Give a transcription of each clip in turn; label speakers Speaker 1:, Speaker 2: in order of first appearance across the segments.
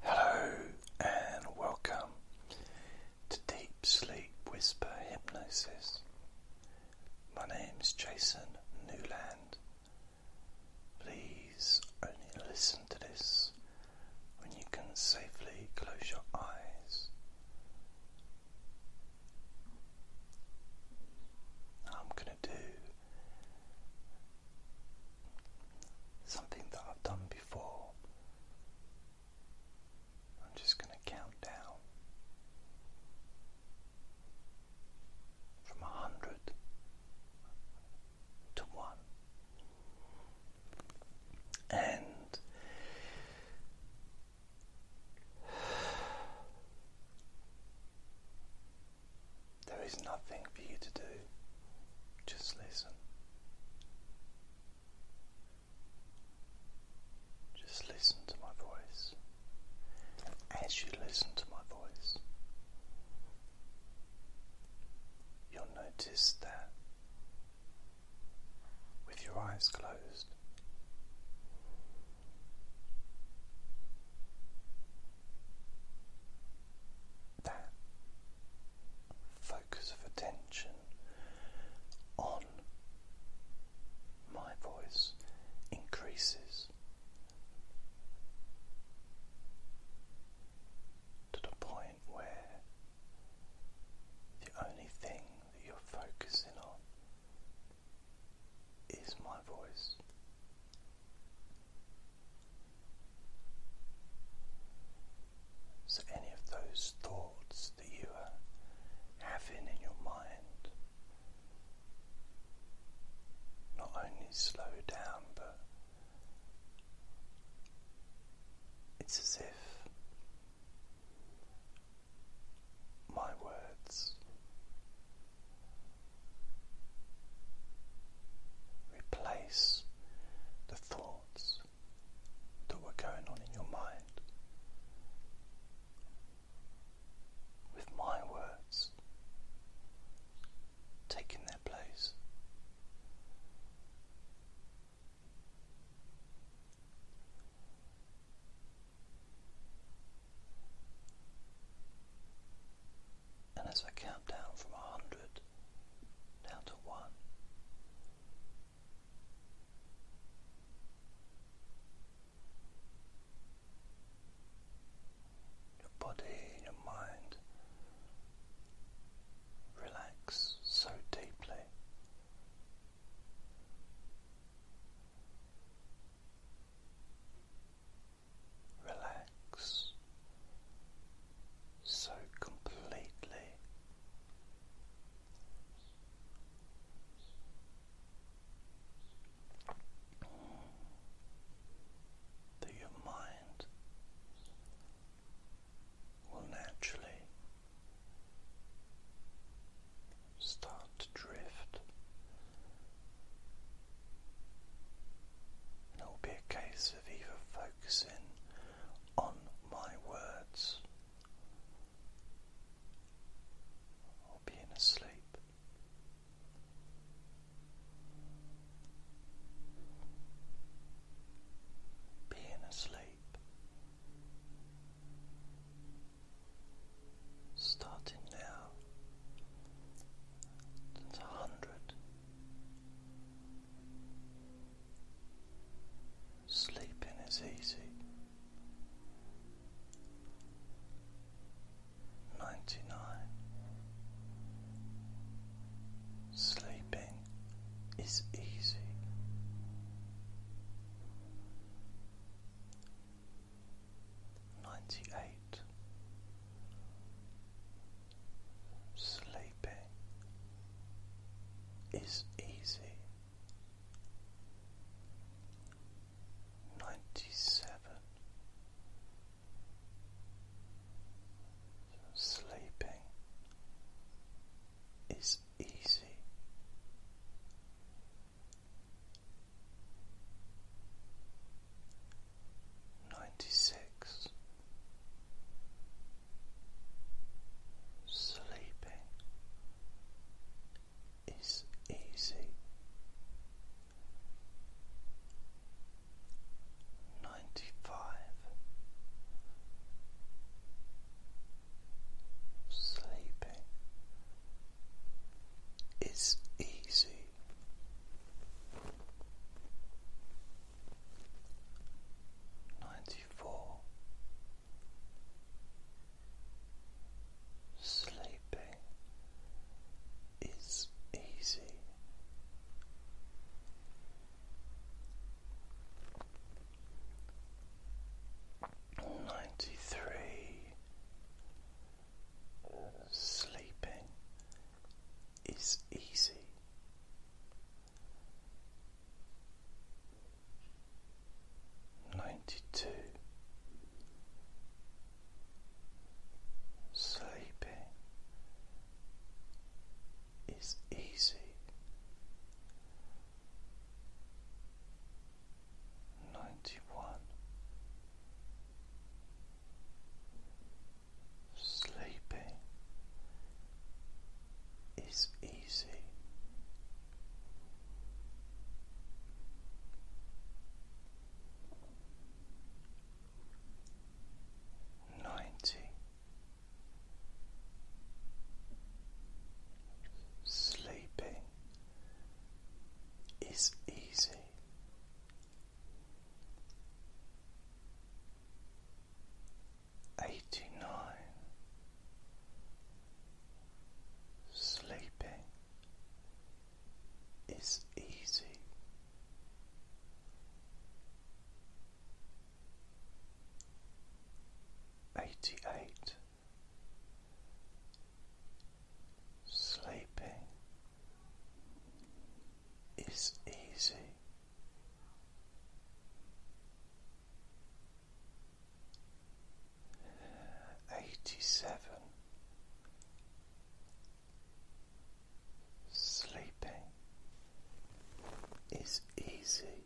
Speaker 1: Hello and welcome to Deep Sleep Whisper Hypnosis. My name is Jason Newland. Please only listen to this when you can safely close your eyes. I'm going to do something that I've done before form. I'm just going to count down from a hundred to one. And there is nothing for you to do, just listen. Just listen to my voice. as you listen to my voice, you'll notice that with your eyes closed, that focus of attention on my voice increases to the point where the only thing that you're focusing on is my voice. So, any of those thoughts that you are having in your mind, not only slow down, but it's as if my words replace the thought that were going on in your mind with my words taking their place. And as I count down from a hundred down to one, your body your mind relax so deeply. Relax so completely. That your mind will naturally start to drift, and it will be a case of either focusing on my words or being asleep. Being asleep. Starting now to 100 Sleeping is easy. Ninety nine. Sleeping is easy. Ninety eight. Sleeping is easy. Ninety seven. Sleeping is easy. Ninety six. Sleeping is easy. Ninety five. Sleeping is easy ninety four sleeping is easy. Ninety three Sleeping is easy ninety two sleeping is easy ninety one Sleeping is easy. Ninety Sleeping is easy eighty nine sleeping is easy. Eighty eight Sleeping is easy. Eighty seven Sleeping is easy.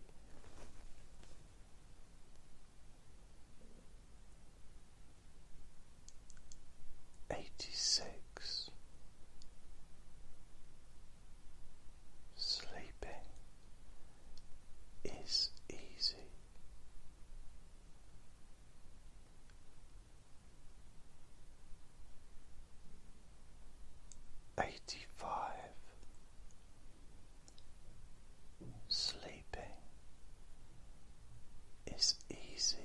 Speaker 1: Eighty six Sleeping is easy. Eighty five Sleeping is easy.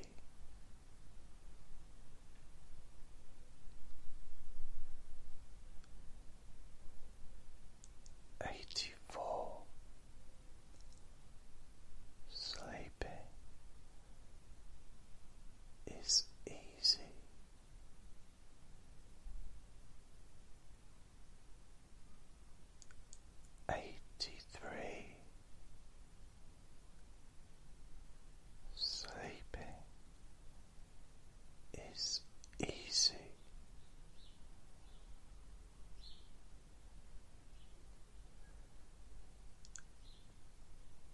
Speaker 1: Eighty four sleeping is easy. Eighty three sleeping is easy.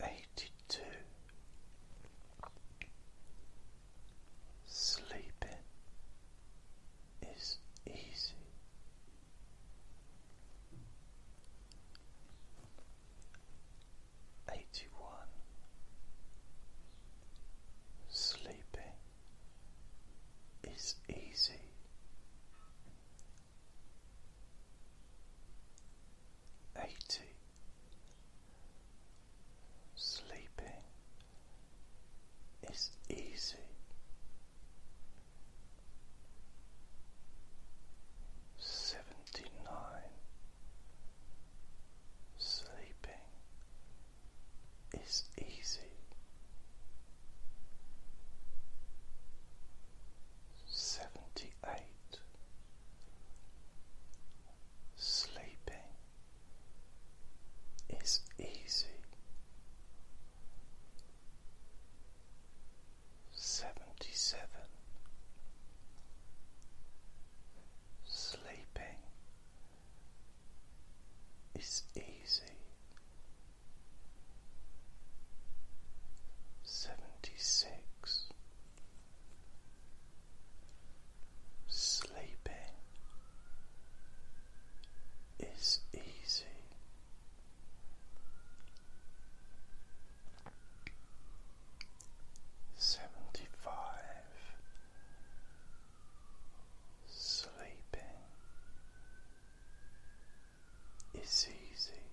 Speaker 1: Eighty two Sleeping is easy eighty one sleeping is easy eighty sleeping is easy Seventy nine Sleeping is easy. Seventy eight. Sleeping is easy. Seventy seven. Sleeping is easy. Seventy six. Sleeping is easy seventy five sleeping is easy.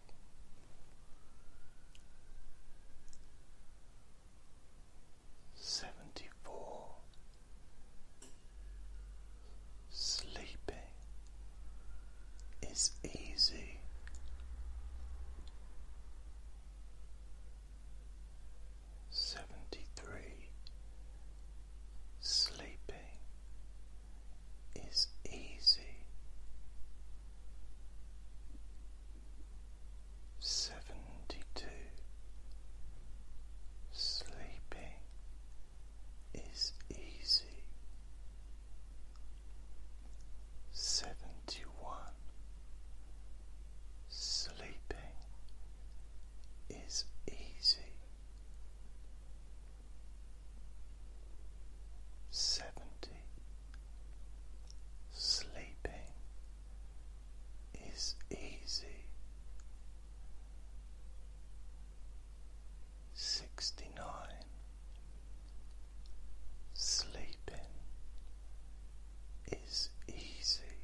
Speaker 1: Seventy four Sleeping is easy seventy three. Sleeping is easy. Seventy two. Sleeping is easy. Seventy one. Sleeping is easy. Seventy. Sleeping is easy. Sixty nine. Sleeping is easy.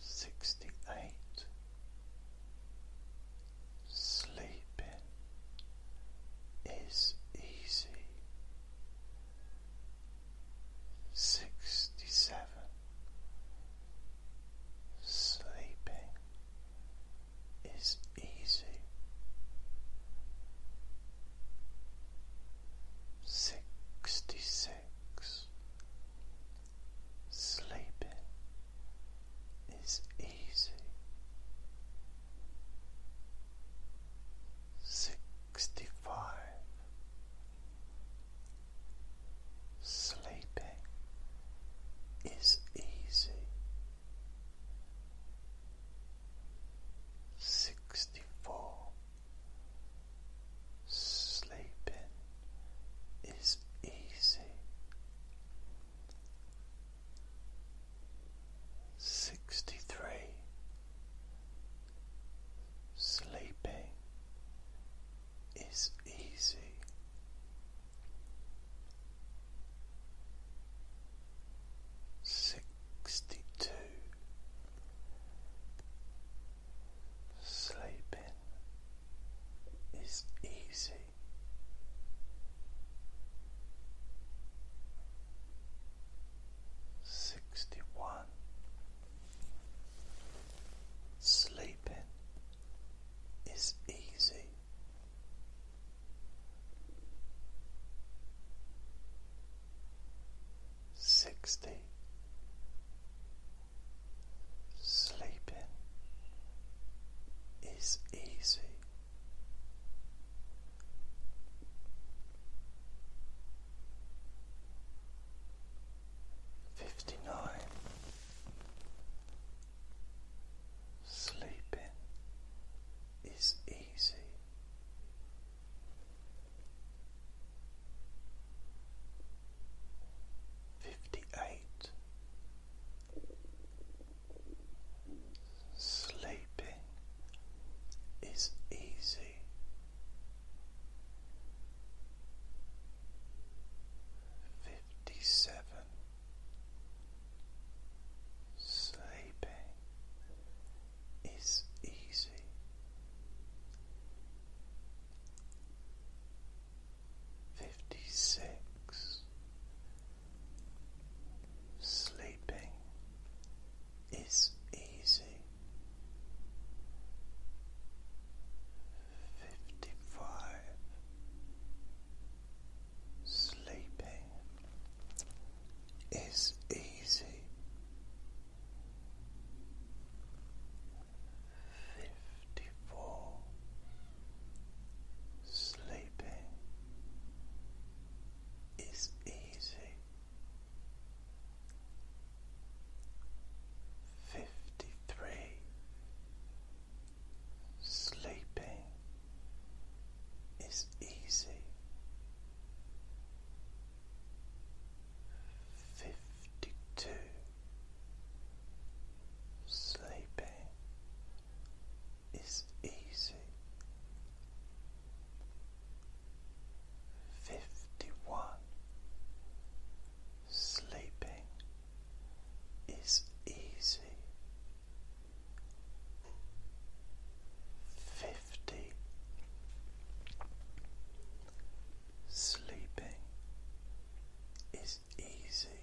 Speaker 1: Sixty eight Sleeping is easy. Sixty seven Sleeping is easy. Sixty six sleeping is easy. Sixty five Sleeping is easy sixty four sleeping is easy sixty three Sleeping is easy sixty two sleeping is easy. Sixty one sleeping is easy. Sixty Sleeping is easy. Fifty nine Sleeping is easy. Fifty eight. Sleeping is easy. Fifty seven. Sleeping is easy. Fifty six. Sleeping is easy. Fifty five. Sleeping is easy. Fifty four sleeping is easy. Fifty three sleeping is easy. Fifty two sleeping is easy. Fifty one sleeping is easy fifty sleeping is easy.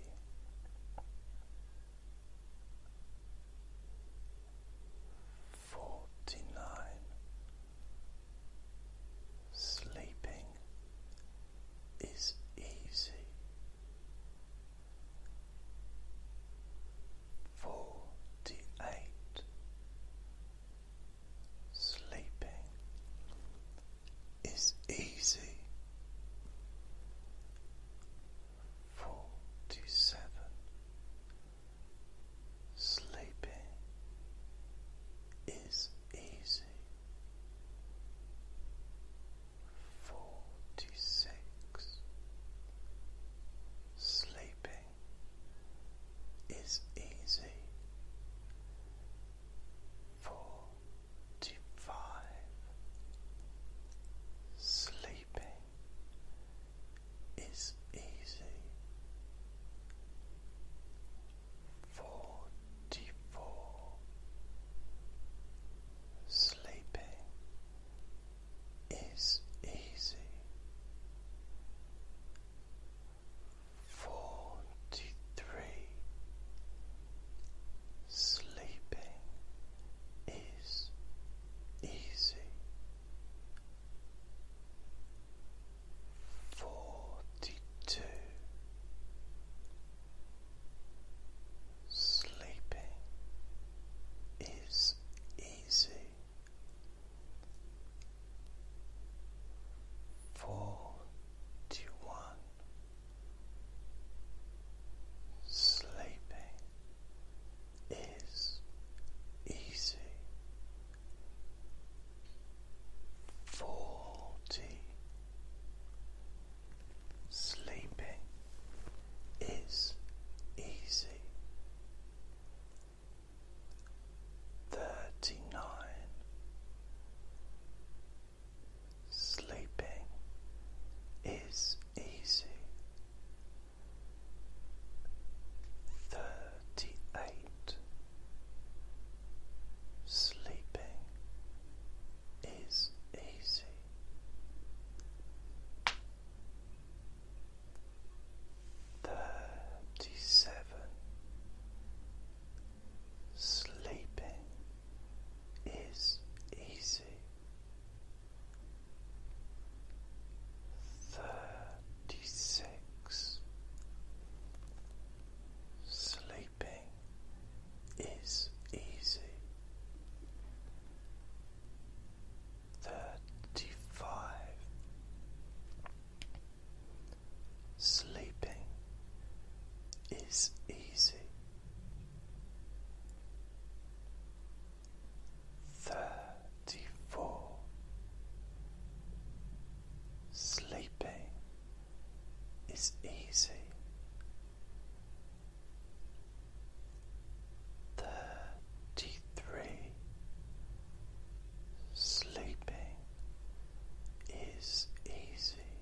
Speaker 1: Forty nine Sleeping is easy forty eight sleeping is easy forty seven sleeping is easy forty six sleeping is easy forty five sleeping is easy forty four Sleeping is easy. Forty three. Sleeping is easy. Forty two. Sleeping is easy. Forty one. Sleeping is easy. Forty. Sleeping is easy. Thirty nine Sleeping is easy. Thirty eight Sleeping is easy. Thirty seven Sleeping is easy. Thirty six Sleeping is easy thirty five, sleeping is easy, thirty four, sleeping is easy. Thirty three. Sleeping is easy.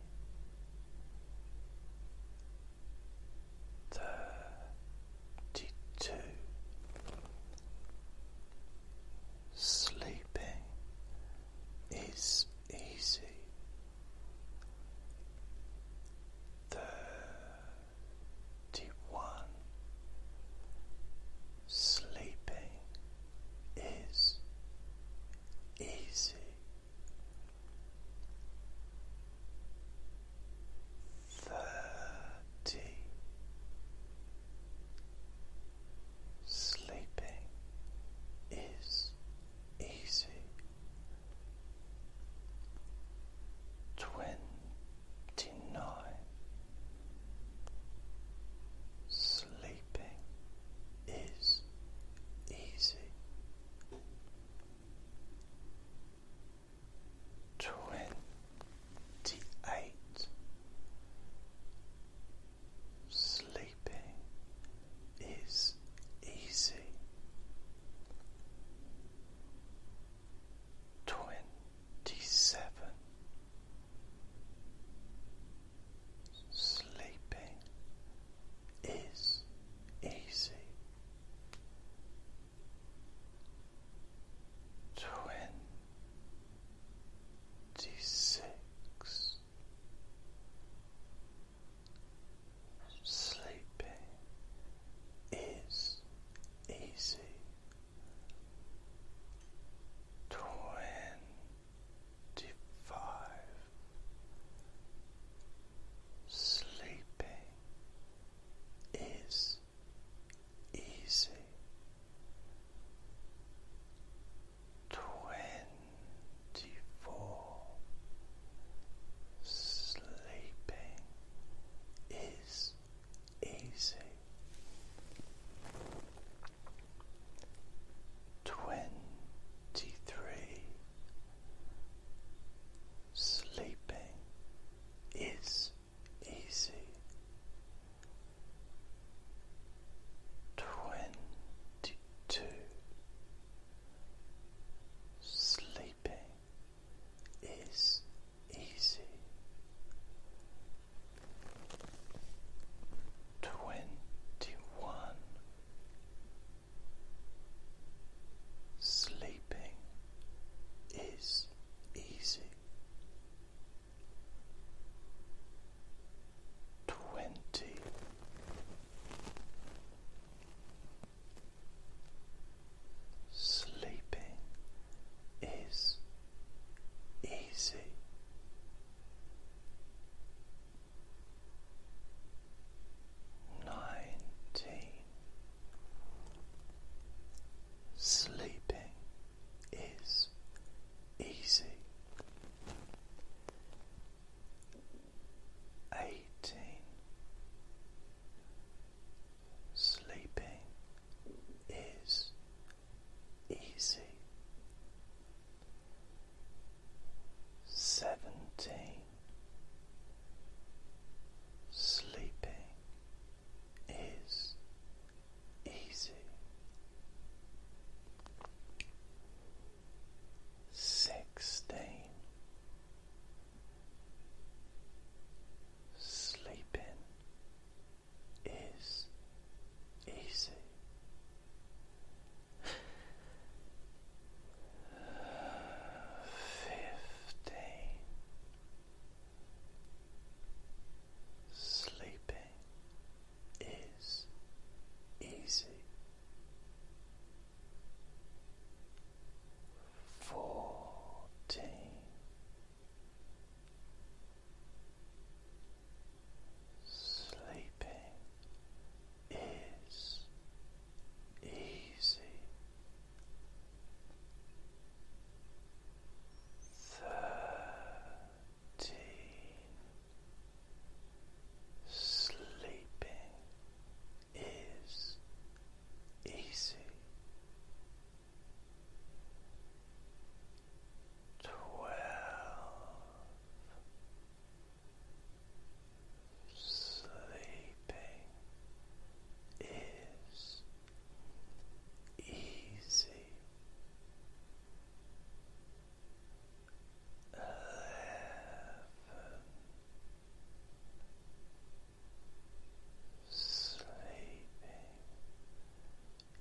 Speaker 1: Thirty two. Sleeping is easy. Thirty one sleeping is easy. Thirty sleeping is easy twenty nine sleeping is easy twenty eight sleeping is easy twenty seven sleeping is easy twenty six Sleeping is easy. Twenty five sleeping is easy. Twenty four sleeping is easy. Twenty three. Sleeping is easy. Twenty two. Sleeping is easy. Twenty one Sleeping is easy. Twenty Sleeping is easy. Nineteen. Sleeping is easy. Eighteen. Sleeping is easy. Seventeen. Sleeping is easy. Sixteen. Sleeping is easy. Fifteen. Sleeping is easy fourteen sleeping is easy thirteen sleeping is easy twelve sleeping is easy eleven Sleeping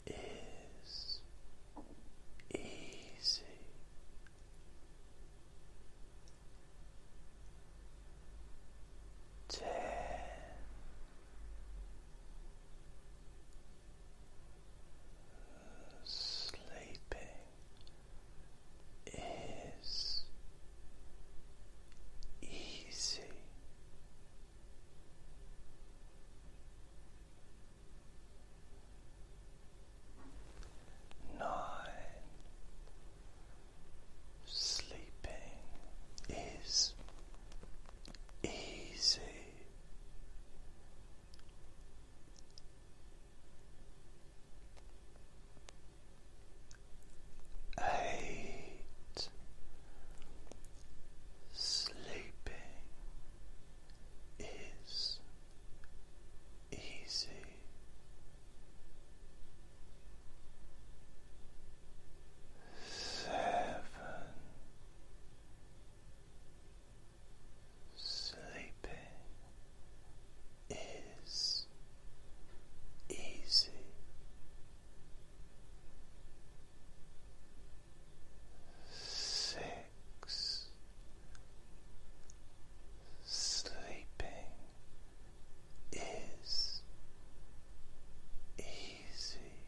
Speaker 1: is easy. Ten. Sleeping is easy. Nine sleeping is easy eight, sleeping is easy. Seven Sleeping is easy six, sleeping is easy.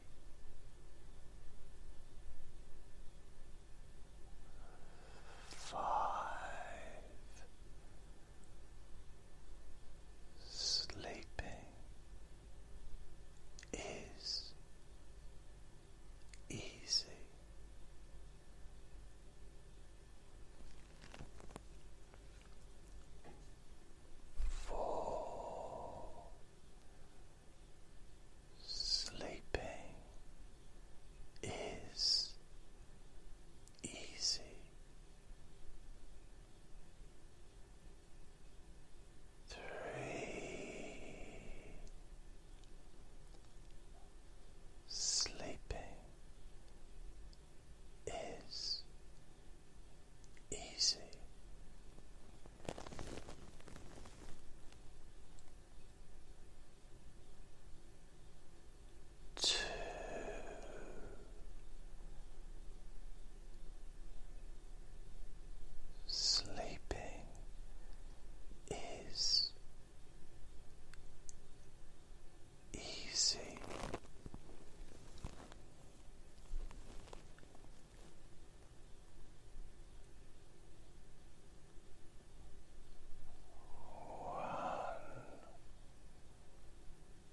Speaker 1: Five, Sleeping is easy. Fall sleeping is easy three, sleeping is easy. Two Sleeping is easy. One